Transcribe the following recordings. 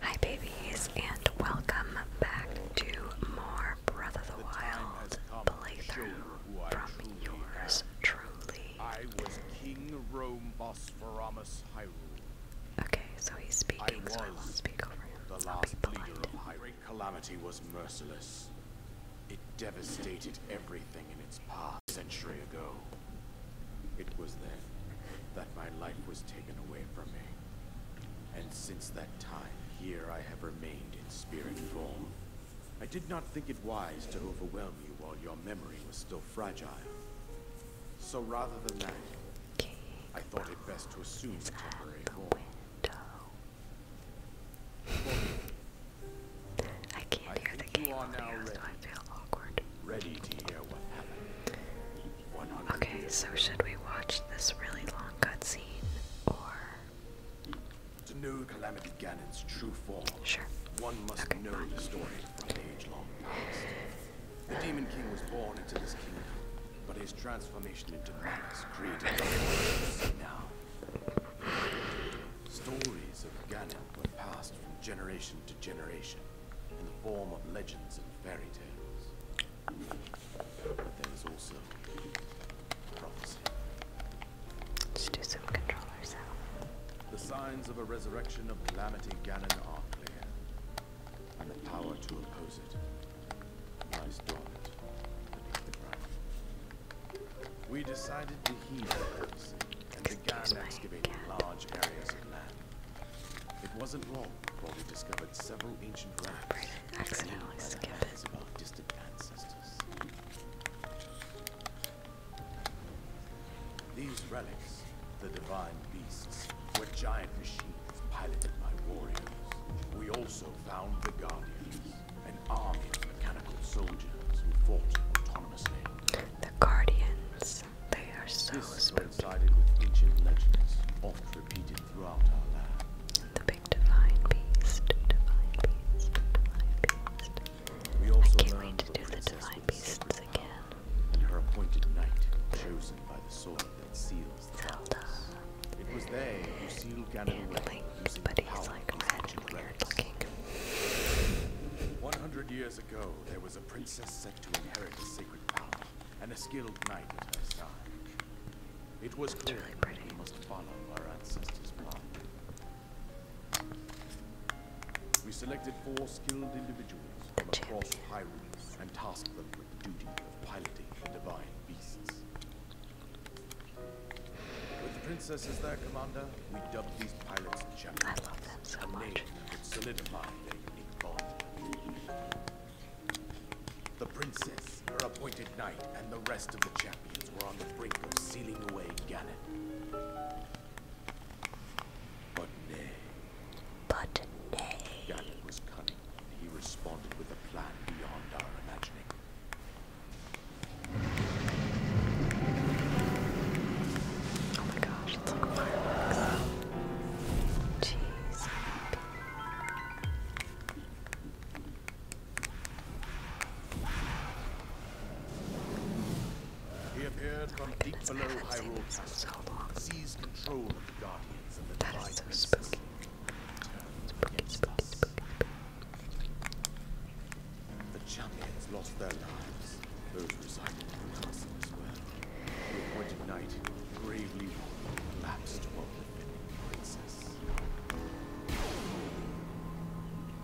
Hi babies and welcome back to more *Brother of the Wild playthrough from yours truly. I was King Rome Bosphoramus Hyrule. Okay, so he's speaking, I will speak over him. The last leader of Hyrule calamity was merciless. It devastated everything in its path century ago. It was then that my life was taken away from me. And since that time, here I have remained in spirit form. I did not think it wise to overwhelm you while your memory was still fragile. So rather than that, I thought it best to assume temporary form. I can't I hear the game so I feel awkward. Ready to what happened. Okay, so should we watch this really long cutscene or to know Calamity Ganon's true form? Sure. One must okay, know the story from age long past. The Demon King was born into this kingdom, but his transformation into madness created now. Stories of Ganon were passed from generation to generation in the form of legends and fairy tales. But there's also prophecy. Let's do some controller sound. The signs of a resurrection of Calamity Ganon are clear, and the power to oppose it lies dormant beneath the ground. We decided to heed the prophecy and began excavating large areas of land. It wasn't long before we discovered several ancient relics. These relics, the divine beasts, were giant machines piloted by warriors. We also found the Guardians, an army of mechanical soldiers who fought autonomously. The Guardians. They are so spooky. With ancient legends, oft repeated throughout our land. The big divine beast, I can't wait to do the divine beasts again. And her appointed knight, chosen by the sword that seals Zelda. It was they who sealed Ganon away. But he's like red and weird looking. 100 years ago, there was a princess to inherit the sacred power, and a skilled knight at her side. It was clear we must follow our ancestors' path. We selected four skilled individuals from across Hyrule and tasked them with the duty of piloting the divine beasts. With the princesses there, commander, we dubbed these pilots champions. I love them so a much. Name that solidified their unique bond. The princess, your appointed knight, and the rest of the champions were on the brink of sealing away Ganon. But nay. But nay. Ganon was cunning, and he responded with a plan beyond our imagining. Oh my gosh, it's like fireworks. Jeez. He appeared from deep below Hyrule Castle, so seized control of the guardians of the that divine spooky. The champions lost their lives. Those residing in the castle as the night, gravely lapsed the princess.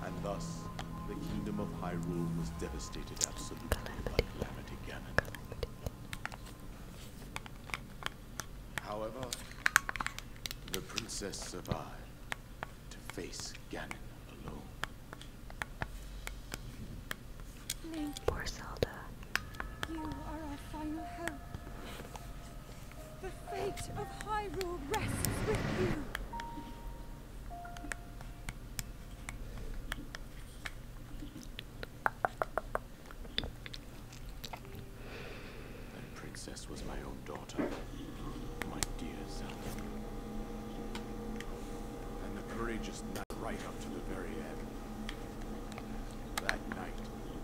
And thus, the kingdom of Hyrule was devastated absolutely by Calamity Ganon. However, the princess survived to face Ganon alone. Poor Zelda. You are our final hope. The fate of Hyrule rests with you. That princess was my own daughter, my dear Zelda. And the courageous knight right up to the very end. That knight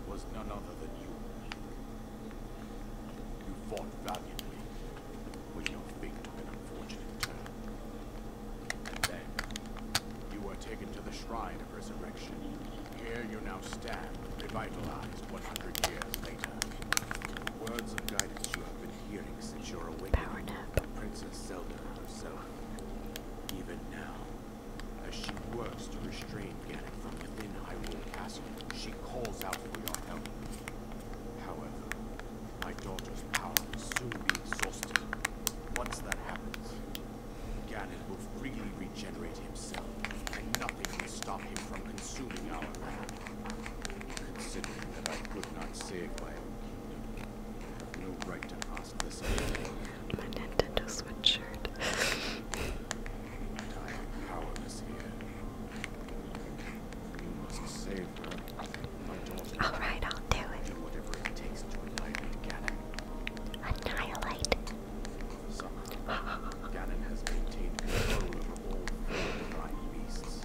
was none other than you. You fought valiantly when your fate took an unfortunate turn. And then, you were taken to the Shrine of Resurrection. Here you now stand, revitalized 100 years later. The Words of guidance you have been hearing since your awakening, Princess Zelda herself. Even now, as she works to restrain Ganon from within Hyrule Castle, she calls out for your help. However, my daughter's power will soon be exhausted. Once that happens, Ganon will freely regenerate himself, and nothing will stop him from consuming our land. Considering that I could not save my own kingdom, I have no right to ask. My Nintendo Switch shirt. How would this Alright, I'll do it. Whatever it takes to Annihilate. Ganon has maintained control over all four divine beasts,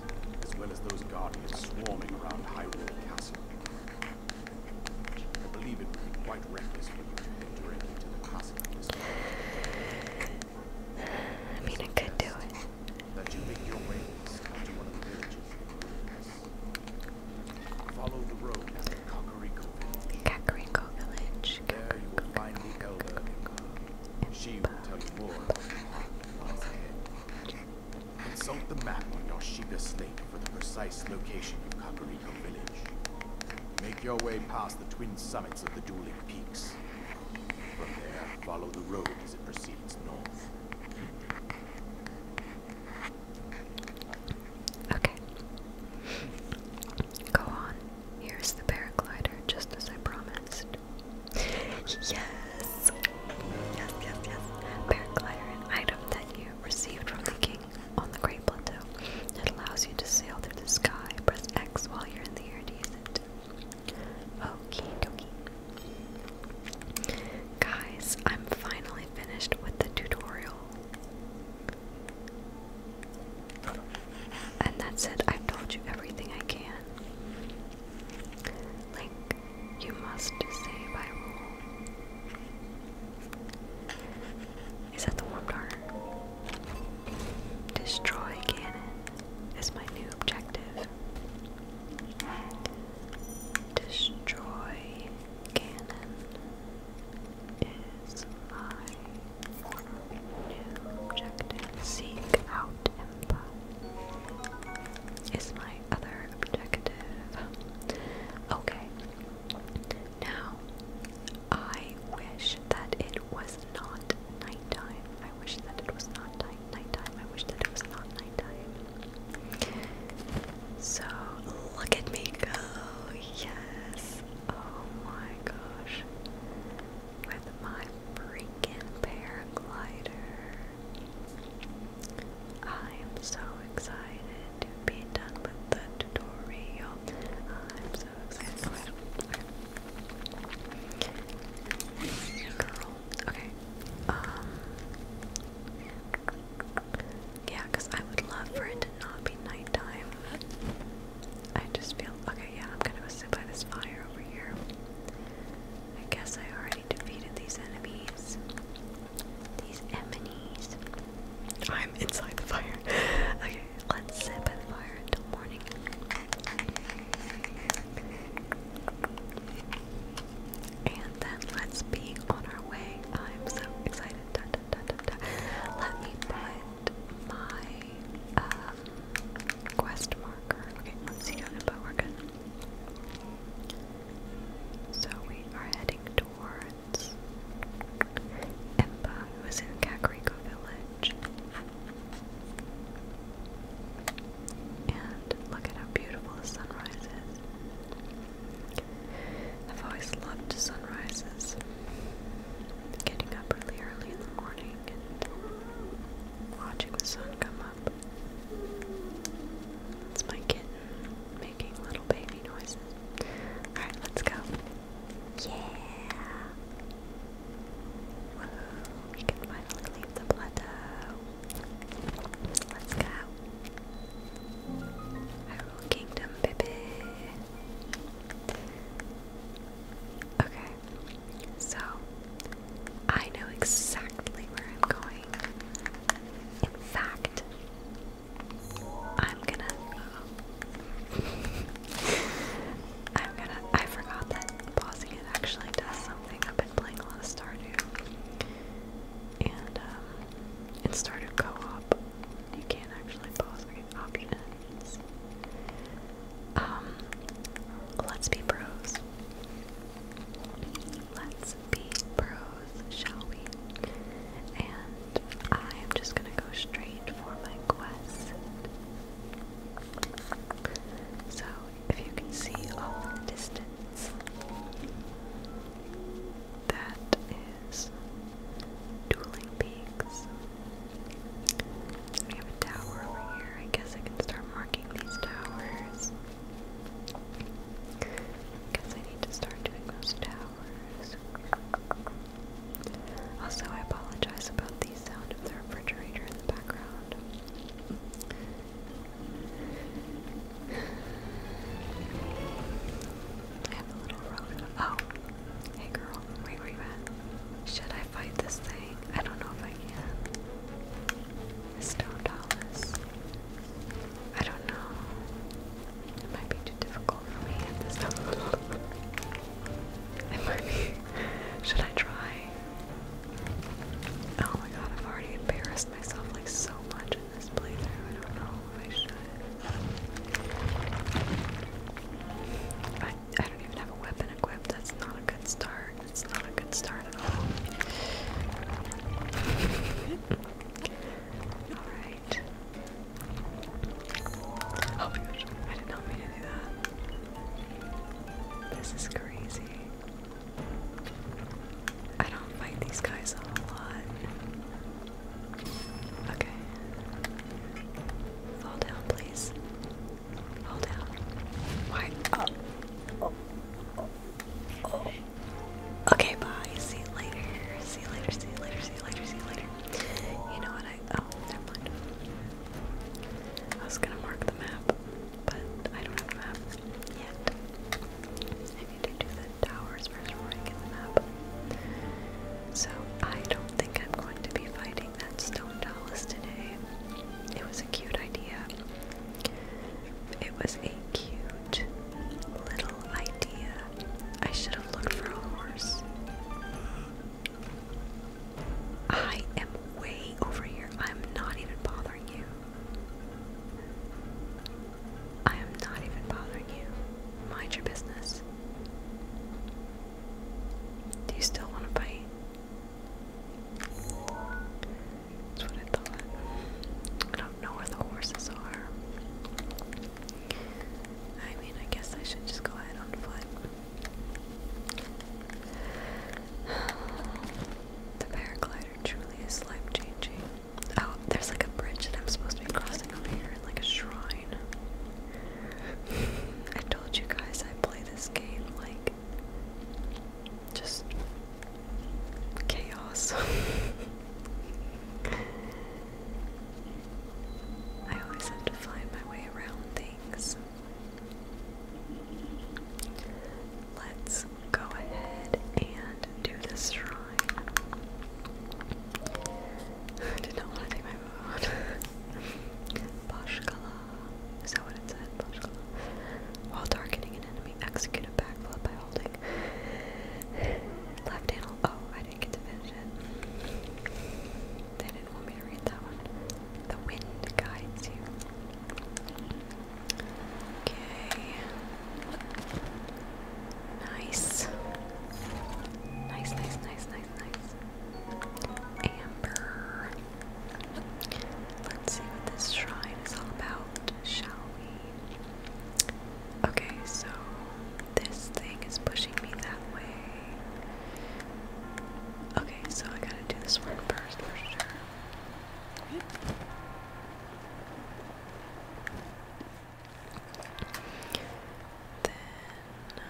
as well as those guardians swarming around Hyrule Castle. I believe it would be quite reckless for you to head directly to the castle at this time. I mean, I could do it. you make your way to the villages. Follow the road at Kakariko village. There you will find the elder. She will tell you more. Consult the map on your Shiga for the precise location of Kakariko Village. Make your way past the twin summits of the dueling peaks. From there, follow the road as it proceeds north. Okay. Go on. Here's the paraglider, just as I promised. Yes! Yes, yes, yes. Paraglider, an item that you received from the game on the Great Plateau. It allows you to sail through the sky. Press X while you're in the air to use it. Okie dokie. Guys, I'm finally finished with the tutorial. And that's it. I've told you everything I can. Link, you must say by is that the warp dart? Destroy cannon is my new objective. Destroy cannon is my new objective. Seek out Impa is my other objective. Okay. Now, I wish that it was not nighttime. I wish that it was not nighttime. I wish that it was not nighttime. So, look at me go. Yes. Oh my gosh. With my freaking paraglider. I am so excited to be done with the tutorial. I'm so excited. Okay. Um, yeah, because I would love for it to not be nighttime. I just feel. Okay, yeah, I'm gonna go sit by this fire over here. I guess I already defeated these enemies. These emanies. I'm inside the fire. okay, let's sit by the fire until morning. And then let's be on our way. I'm so excited. Let me put my um, quest marker. Okay, let's see how about we're good. So we are heading towards friends. Empa in Kakariko Village. And look at how beautiful the sunrise is. I've always loved sunrises. Getting up really early in the morning and watching the sun come up. That's my kid making little baby noises. Alright, let's go. Yeah! we can finally leave the plateau. Let's go. Hyrule Kingdom, baby. Okay, so I know exactly where I'm going. In fact, I'm gonna. I'm gonna. I forgot that pausing it actually does something. I've been playing a lot of Stardew, and um, in Co-op, you can't actually pause the game options. Um, let's be pros. Let's be pros shall we? And I'm just gonna go straight for my quest. So, if you can see all in the distance, that is Dueling Peaks. We have a tower over here. I guess I can start marking these towers. Guess I need to start doing those towers. Also, I apologize about the sound of the refrigerator in the background. I have a little road. Oh, hey girl, wait, where you at? Should I fight this thing? I don't know if I can. Stone dollars. I don't know. It might be too difficult for me this time. it might be. Should I try? Oh my god, I've already embarrassed myself like so much in this playthrough. I don't know if I should. I, I don't even have a weapon equipped. That's not a good start. It's not a good start at all. Alright right. Oh gosh, I did not mean to do that. This is crazy. I don't fight these guys a lot. Okay. Fall down, please. Fall down. Why? Okay, bye. See you later. See you later. See you later. See you later. See you later. You know what I oh, never mind. I was gonna mark the map, but I don't have a map yet. I need to do the towers first before I get the map. So I don't think I'm going to be fighting that stone talus today. It was a cute idea. It was a cute little idea I should have looked for a horse. I am way over here. I'm not even bothering you. I am not even bothering you. Mind your business. Do you still want to bite? That's what I thought. I don't know where the horses are. I mean, I guess I should just go ahead on foot. the paraglider truly is life changing. Oh, there's like a bridge that I'm supposed to be crossing over here, and like a shrine. I told you guys I play this game like just chaos. I always have to find my way around things. Let's go ahead and do this shrine. I did not want to take my phone. Bashkala. Is that what it said? Bashkala. While targeting an enemy, execute a backflip by holding left handle. Oh, they didn't want me to read that one. The wind guides you. Okay. Nice, nice, nice, nice, nice. Amber. Let's see what this shrine is all about, shall we? Okay, so this thing is pushing me that way. Okay, so I gotta do this one first for sure. Then, um,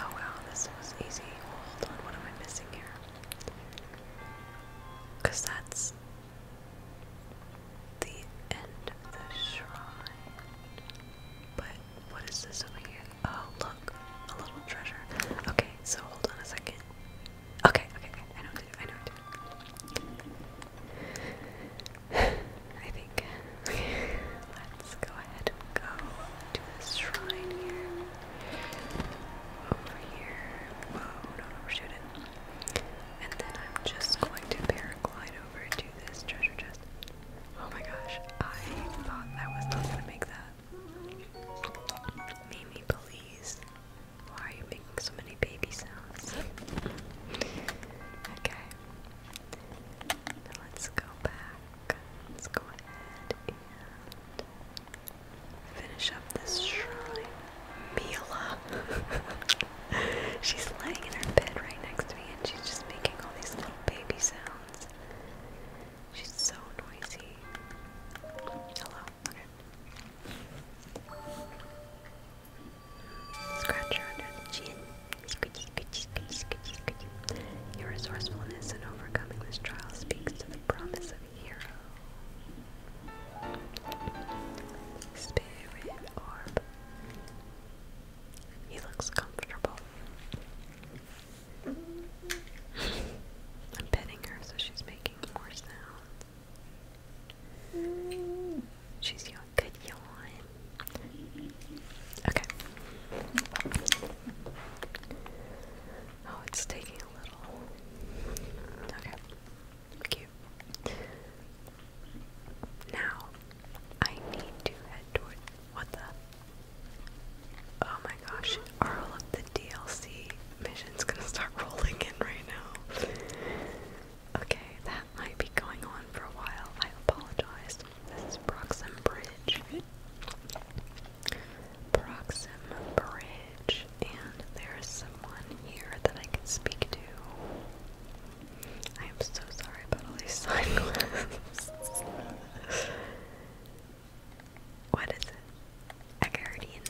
oh wow, this was easy. Hold on, what am I missing here? Cause that's the end of the shrine. But what is this over here? Oh, look, a little treasure. Okay, so hold on a second. Okay, okay, okay. I know what to do. I know what to do. I think. Let's go ahead and go to this shrine here. Over here. Whoa, do overshoot it. And then I'm just going to paraglide over to this treasure chest. Oh my gosh, I thought I was not gonna make that. Mimi, please. Why are you making so many baby sounds? okay. let's go back. Let's go ahead and finish up this shrine. Mila. she's lying in her bed right next to me and she's just making all these little baby sounds. She's so noisy. Hello. Okay. under the chin. Your resourcefulness in overcoming this trial speaks to the promise of a hero. Spirit orb. He looks comfortable. I'm petting her so she's making more sounds. She's yawn. Okay. Oh, it's taking a little. Okay. Cute. Now, I need to head toward. What the? Oh my gosh, all of the DLC missions gonna start rolling in right now? Okay, that might be going on for a while. I apologize. This is Proxim Bridge. Proxim Bridge. And there's someone here that I can speak to. I am so sorry about all these sunglasses. what is it? A guardian.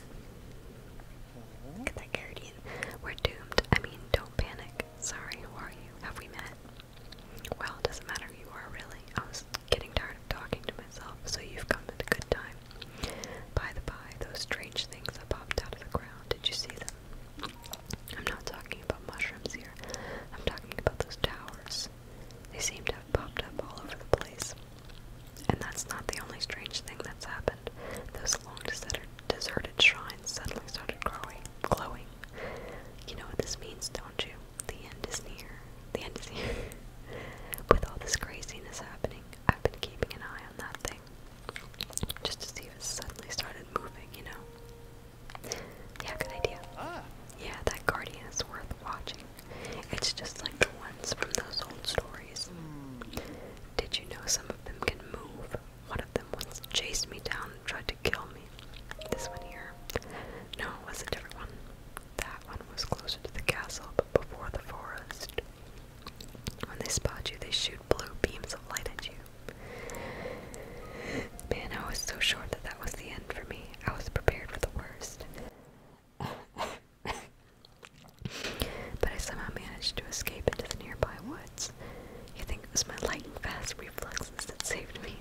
that guardian. We're doomed. I mean, don't panic. Sorry, who are you? Have we met? Well, it doesn't matter you are, really. I was getting tired of talking to myself, so you've come at a good time. By the by, those strange things that popped out of the ground, did you see them? I'm not talking about mushrooms here. I'm talking about those towers. They seem to have popped up all over the place. And that's not the only strange thing that's happened. Those long deserted shrines suddenly started growing, glowing. You know what this means, don't you? The end is near. The end is near. With all this craziness happening, I've been keeping an eye on that thing just to see if it suddenly started moving, you know? Yeah, good idea. Ah. Yeah, that Guardian is worth watching. It's just like the ones from those old stories. Hmm. Did you know some of them can move? One of them once chased me down and tried to kill me. This one here. No, it was a different one. That one was closer to the castle, but before the forest. When they spot you, they shoot blue beams of light at you. Man, I was so sure that that was the end for me. I was prepared for the worst. but I somehow managed to escape into the nearby woods. You think it was my lightning fast reflexes that saved me?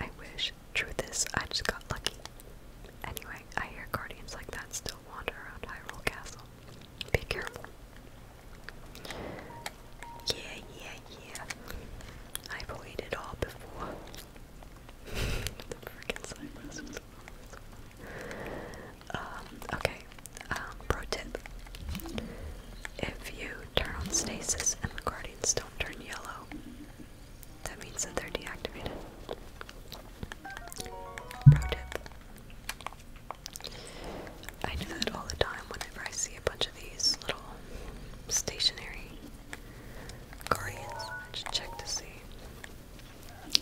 I wish. Truth is, I just got lucky. Anyway, I hear guardians like that still wander around Hyrule Castle. Be careful. Yeah, yeah, yeah. I've played it all before. the freaking silence um, okay. Um, pro tip. If you turn on stasis and the guardians don't turn yellow, that means that they're deactivated. Pro tip. I do that all the time whenever I see a bunch of these little stationary guardians. I just check to see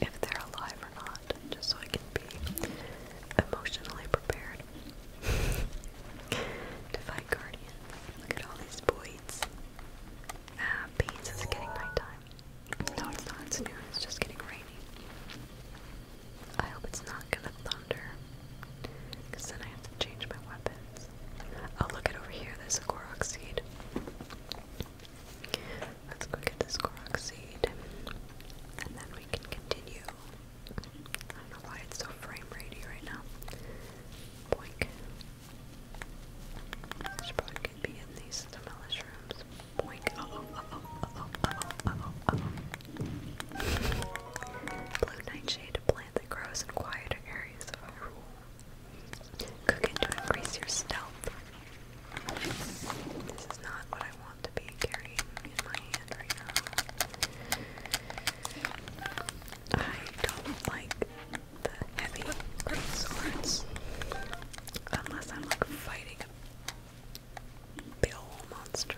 if they're alive or not, just so I can be emotionally prepared to fight guardians. Look at all these boys. Ah, beans, is getting nighttime? No, it's not. It's noon. It's just getting rainy. I hope it's not gonna thunder. then I have to change my weapons. Oh, look at over here. There's a Korok seed. Let's go get this Korok seed. And then we can continue. I don't know why it's so frame ratey right now. Boink. I should probably be in these demolish rooms. Boink. Blue nightshade, a plant that grows in quieter areas of our rule. Cook to increase your stealth. This is not what I want to be carrying in my hand right now. I don't like the heavy swords unless I'm like fighting Big monster.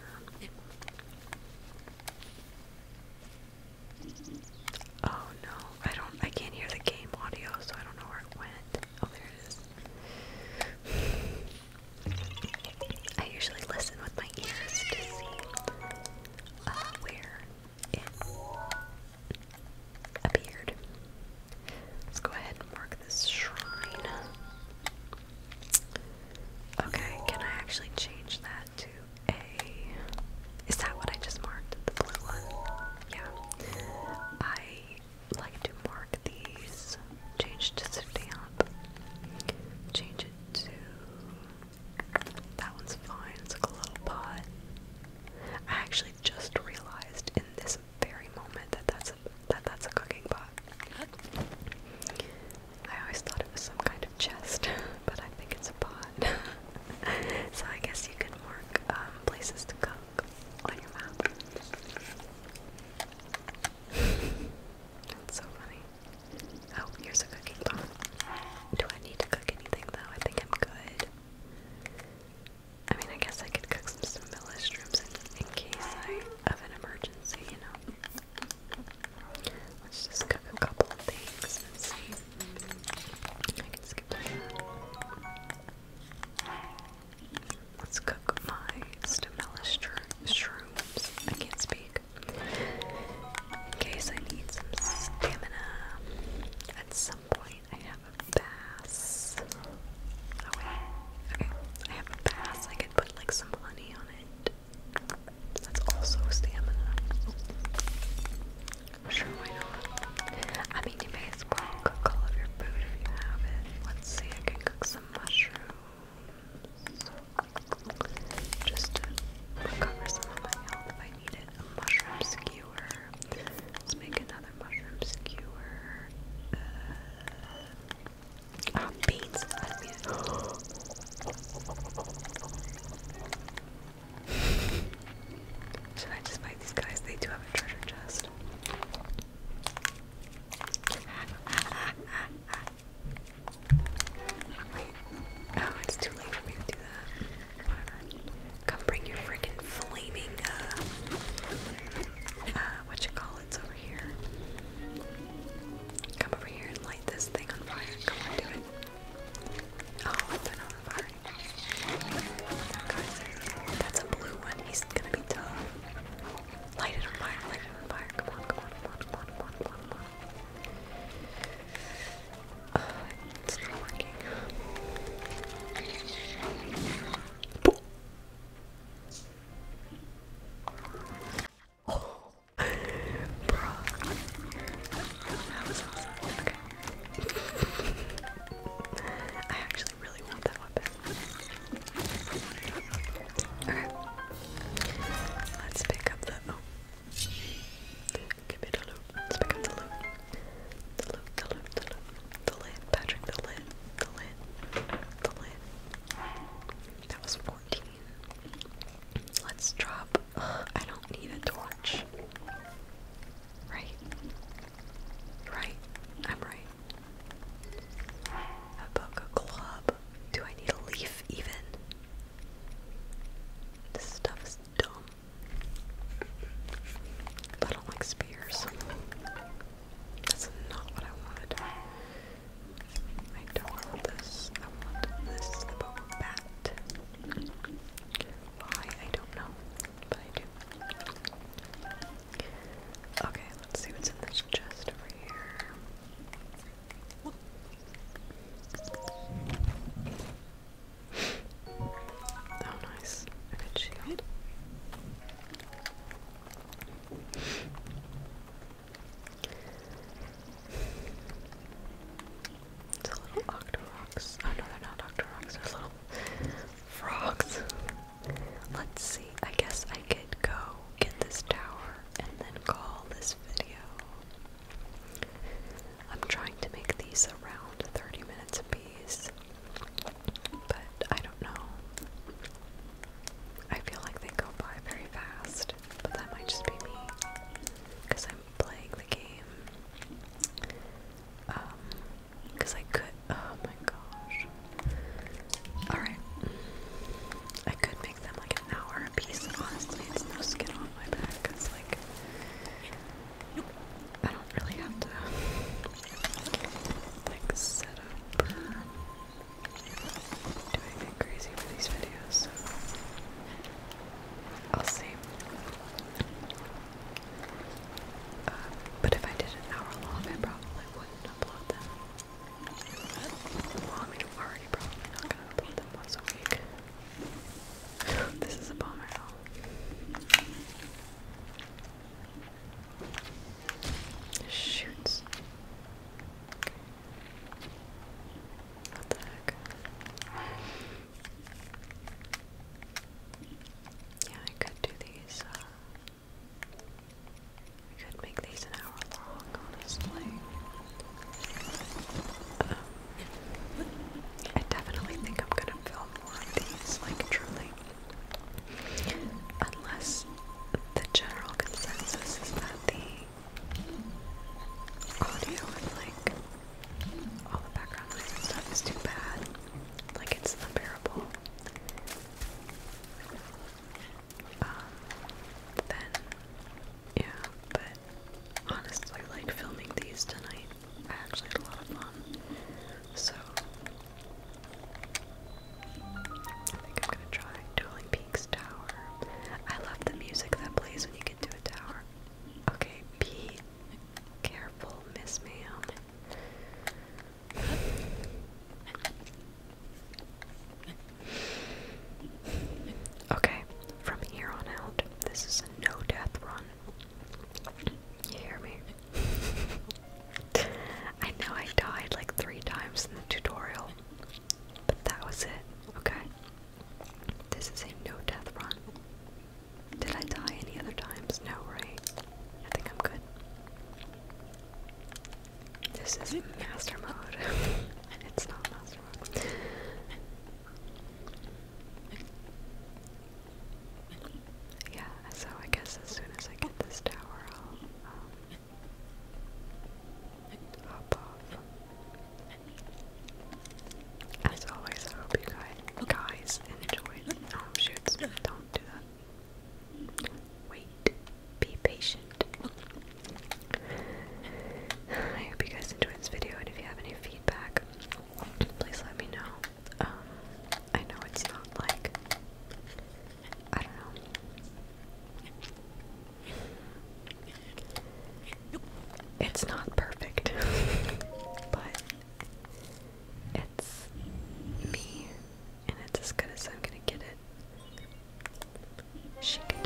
Oh no, I don't I can't hear the game audio, so I don't know where it went. Oh there it is. I usually listen with my ears to see uh, where it appeared. Let's go ahead and mark this shrine. Okay, can I actually change that to a. Is that what I just marked? The blue one? Yeah. I like to mark these. Change to stamp. Change it to. That one's fine. It's like a little pot. I actually just realized in this very moment that that's a that that's a cooking pot. I always thought it was some kind of chest, but I think it's a pot. so I guess you can mark um, places to cook on your map. That's so funny. Oh, here's a cooking pot. Do I need to cook anything though? I think I'm good. I mean, I guess I could cook some, some minestrone in, case of an emergency, you know. Let's just cook a couple of things and see. I can skip Let's cook my stamella shrooms. I can't speak. In case I need some stamina. At some point, I have a bass. Oh, okay, I have a bass. I could put like some honey on it. That's also stamina. Sure, I mean, you may as well cook all of your food if you have it. Let's see, I can cook some mushrooms. Just to recover some of my health I need A mushroom skewer. Let's make another mushroom skewer. Uh, um, Should I just fight these guys? They do have a treasure chest. Oh, it's too late for me to do that. Come bring your freaking flaming, uh, uh, what you call it, over here. Come over here and light this thing on fire. Come on, do it. Oh, they're not on fire. Guys, that's a blue one. He's gonna be tough. Light it on fire, light it on fire. Come on, come on, come on, come on, come on, come on. Come on. Uh, it's not working. Oh, bro, that was awesome. Okay. I actually really want that weapon. Okay, let's pick up the. Oh. give me the loot. Let's pick up the loot. The loot. The loot. The loot. The lid. Patrick. The lid. The lid. The lid. That was Let's drop. I don't need a torch. Right? Right. I'm right. A book, a club. Do I need a leaf even? This stuff dumb. I don't like spears. That's not what I wanted. I don't want this. I want this, the boba bat. Why? I don't know, but I do. Okay, let's see what's in this chest over here. Oh, nice. A good shield. It's a little octorox. Oh no, they're not octorox, they're little frogs. Let's see, I guess I could go get this tower and then call this video. I'm trying to make these around 30 minutes apiece, but I don't know. I feel like they go by very fast but that might just be me because I'm playing the game. Um, because I could. Oh my gosh. Alright. I could make them like an hour a piece, and honestly, it's no skin on my back because, like, I don't really have to, like, set up doing crazy for these videos, I'll see. Uh, but if I did an hour long, I probably wouldn't upload them. I mean, already probably not gonna upload them once a week. this is a bummer. Shoots. Yeah, I could do these, uh, could make these an hour long, honestly. Um, I definitely think I'm gonna film more of these, like, truly. Unless the general consensus is that the audio and like all the background stuff is too bad. Like it's unbearable. Um, then, yeah, but honestly, like filming these tonight, I actually had a lot of fun. So, I think I'm gonna try Dueling Peaks Tower. I love the music that plays when you get to a tower. Okay, be careful, Miss Ma'am. Okay, from here on out, this is a no death run. You hear me? I know I died like three times in the tutorial. But that was it, okay? This is a no death run. Did I die any other times? No, right? I think I'm good. This is master mode. it's not master mode. Yeah, so I guess as soon as I get this tower, as always, I hope you guys, guys enjoyed. Oh, shoots, don't do that. Wait, be patient. I hope you guys enjoyed this video, and if you have any feedback, please let me know. Um, I know it's not like, I don't know, it's not perfect, but it's me, and it's as good as I'm gonna get it. She can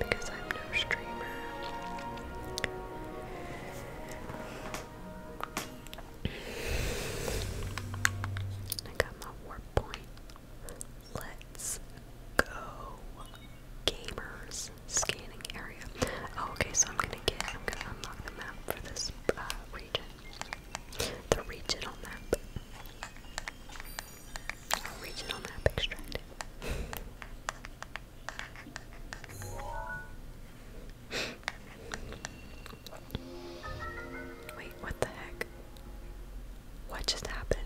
because I'm no streamer. I got my warp point. Let's go. Gamers scanning area. Oh, okay, so I'm gonna get, I'm gonna unlock the map for this uh, region. The regional map. Regional map extracted. Wait, what the heck? What just happened?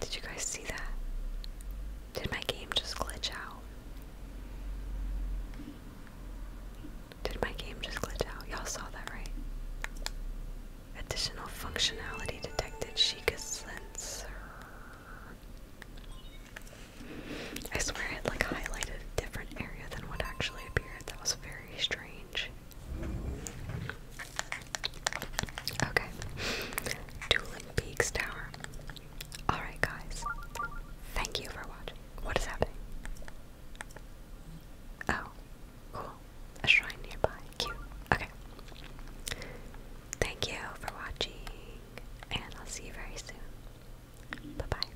Did you guys see that? Did my game just glitch out? Did my game just glitch out? Y'all saw that, right? Additional functionality detected. Sheikah's sensor. I swear it like highlighted a different area than what actually appeared. That was very strange. Okay. Dueling Peaks Tower. Alright, guys. Thank you for watching. What is happening? Oh, cool. A shrine nearby. Cute. Okay. Thank you for watching, and I'll see you very soon. Bye bye.